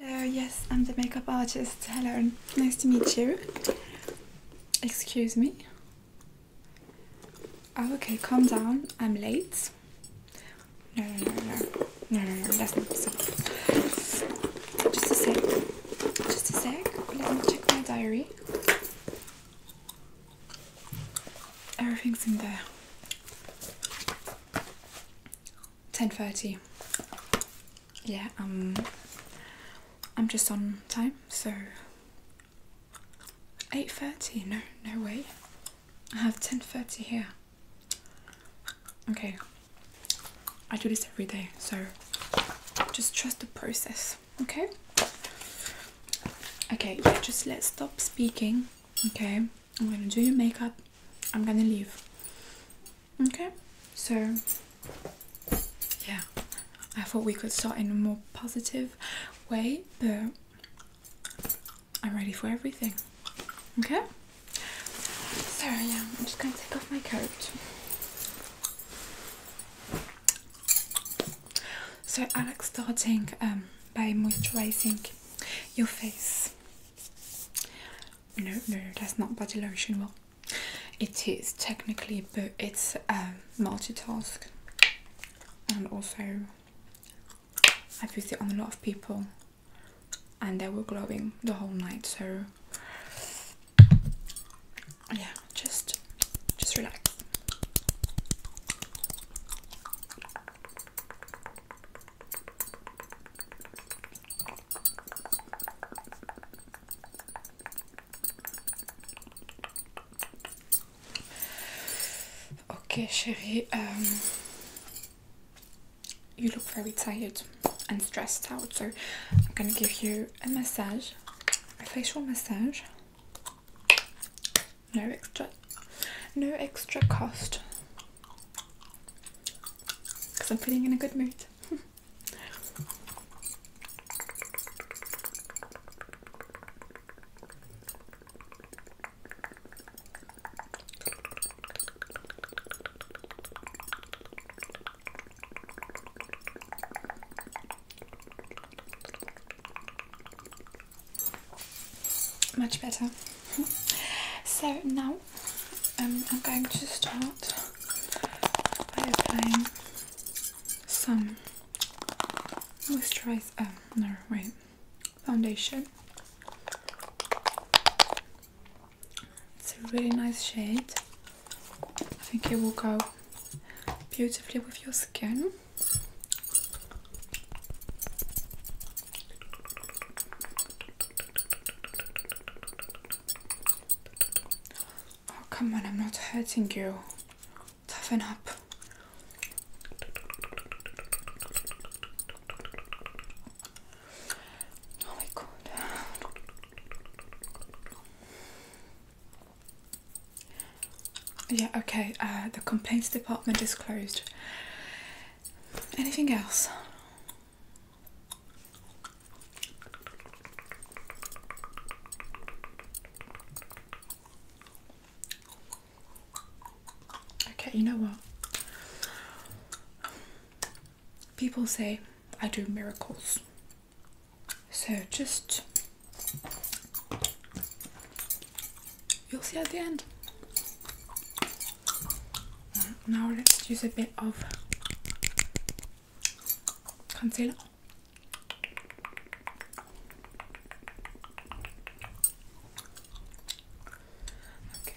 Hello, yes, I'm the makeup artist. Hello, nice to meet you. Excuse me. Oh, okay, calm down. I'm late. No, no, no, no. No, no, no, that's not Just a sec. Just a sec. Let me check my diary. Everything's in there. 10.30 yeah um I'm just on time so 8.30 no no way I have 10.30 here okay I do this every day so just trust the process okay okay yeah just let's stop speaking okay I'm gonna do your makeup I'm gonna leave. Okay, so yeah, I thought we could start in a more positive way, but I'm ready for everything. Okay, so yeah, I'm just gonna take off my coat. So I like starting um, by moisturizing your face no, no, that's not body lotion. Well, it is technically, but it's um, multitask, and also I've it on a lot of people, and they were glowing the whole night. So yeah, just just relax. Okay, Sherry, um, you look very tired and stressed out, so I'm gonna give you a massage, a facial massage. No extra, no extra cost because I'm feeling in a good mood. Much better. so now um, I'm going to start by applying some moisturizer, um, no wait, foundation it's a really nice shade I think it will go beautifully with your skin Oh, come on, I'm not hurting you. Toughen up. Oh my god. Yeah, okay, uh, the complaints department is closed. Anything else? Okay, you know what? People say I do miracles. So just you'll see at the end. Now let's use a bit of concealer. Okay.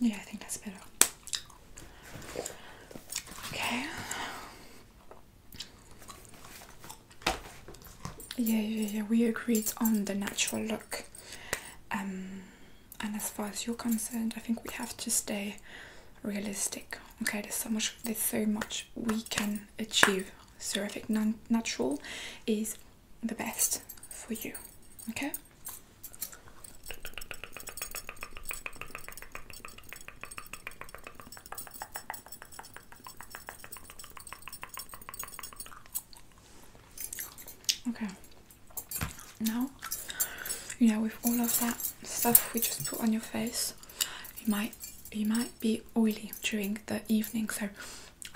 Yeah, I think that's better. Okay. Yeah, yeah, yeah. We agreed on the natural look. Um, and as far as you're concerned, I think we have to stay realistic. Okay, there's so much. There's so much we can achieve. Ceramic natural is the best for you. Okay. Okay. Now, you know, with all of that stuff we just put on your face, you might you might be oily during the evening. So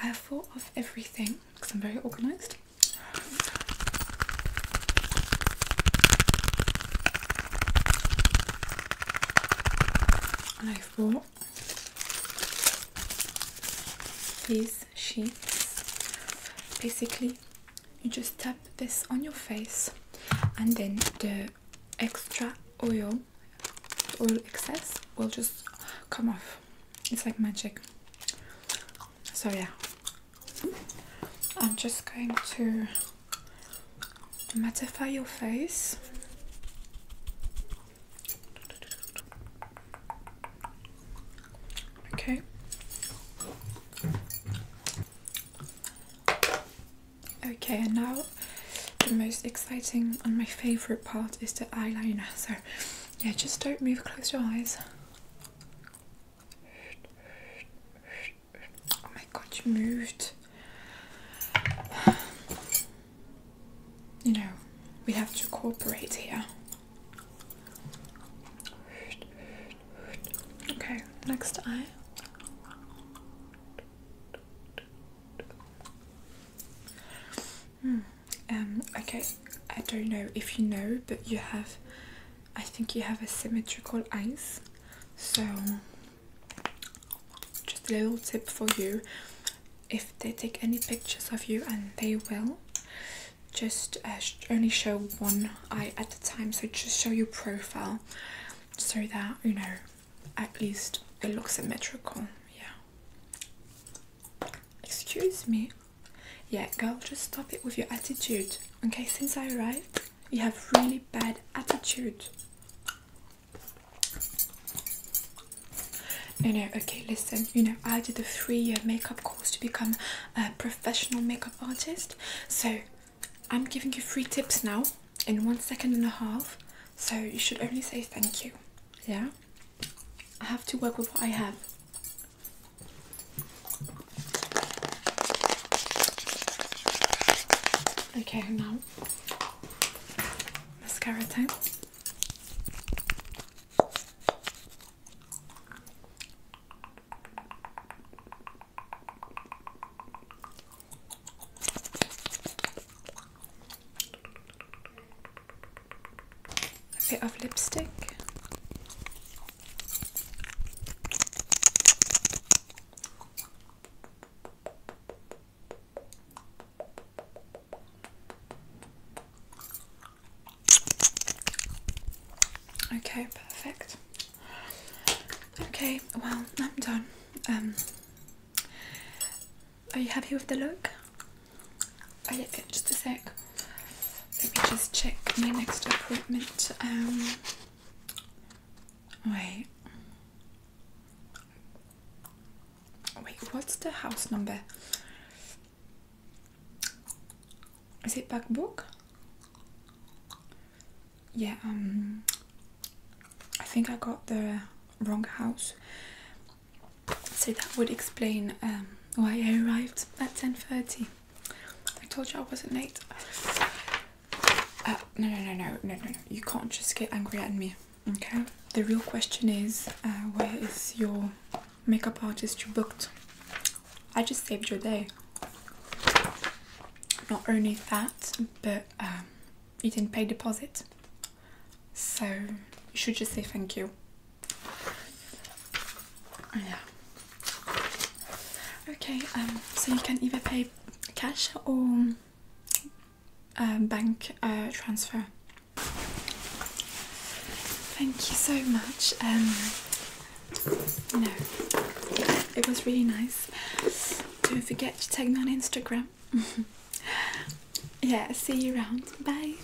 I have thought of everything because I'm very organised. And i bought these sheets. Basically, you just tap this on your face, and then the extra oil, oil excess, will just come off. It's like magic. So yeah. I'm just going to mattify your face. Okay. Okay, and now the most exciting and my favorite part is the eyeliner. So yeah, just don't move, close your eyes. Oh my god, you moved. You know, we have to cooperate here. Okay, next eye. Um, okay, I don't know if you know, but you have, I think you have a symmetrical eyes. So, just a little tip for you if they take any pictures of you, and they will, just uh, only show one eye at a time. So, just show your profile so that you know at least it looks symmetrical. Yeah. Excuse me? Yeah, girl, just stop it with your attitude. Okay, since I arrived, you have really bad attitude. No, no, okay, listen, you know, I did a three year makeup course to become a professional makeup artist. So I'm giving you three tips now in one second and a half. So you should only say thank you. Yeah? I have to work with what I have. Okay, now mascara time a bit of lipstick. Okay, perfect. Okay, well, I'm done. Um, are you happy with the look? Oh yeah, just a sec. Let me just check my next appointment. Um, wait. Wait, what's the house number? Is it back book? Yeah, um, I think I got the wrong house. So that would explain um, why I arrived at 10.30. I told you I wasn't late. Uh, no, no, no, no, no, no, You can't just get angry at me, okay? The real question is, uh, where is your makeup artist you booked? I just saved your day. Not only that, but um, you didn't pay deposit. So you should just say thank you. Yeah. Okay. Um. So you can either pay cash or um, bank uh, transfer. Thank you so much. Um, no, it was really nice. Don't forget to tag me on Instagram. yeah. See you around. Bye.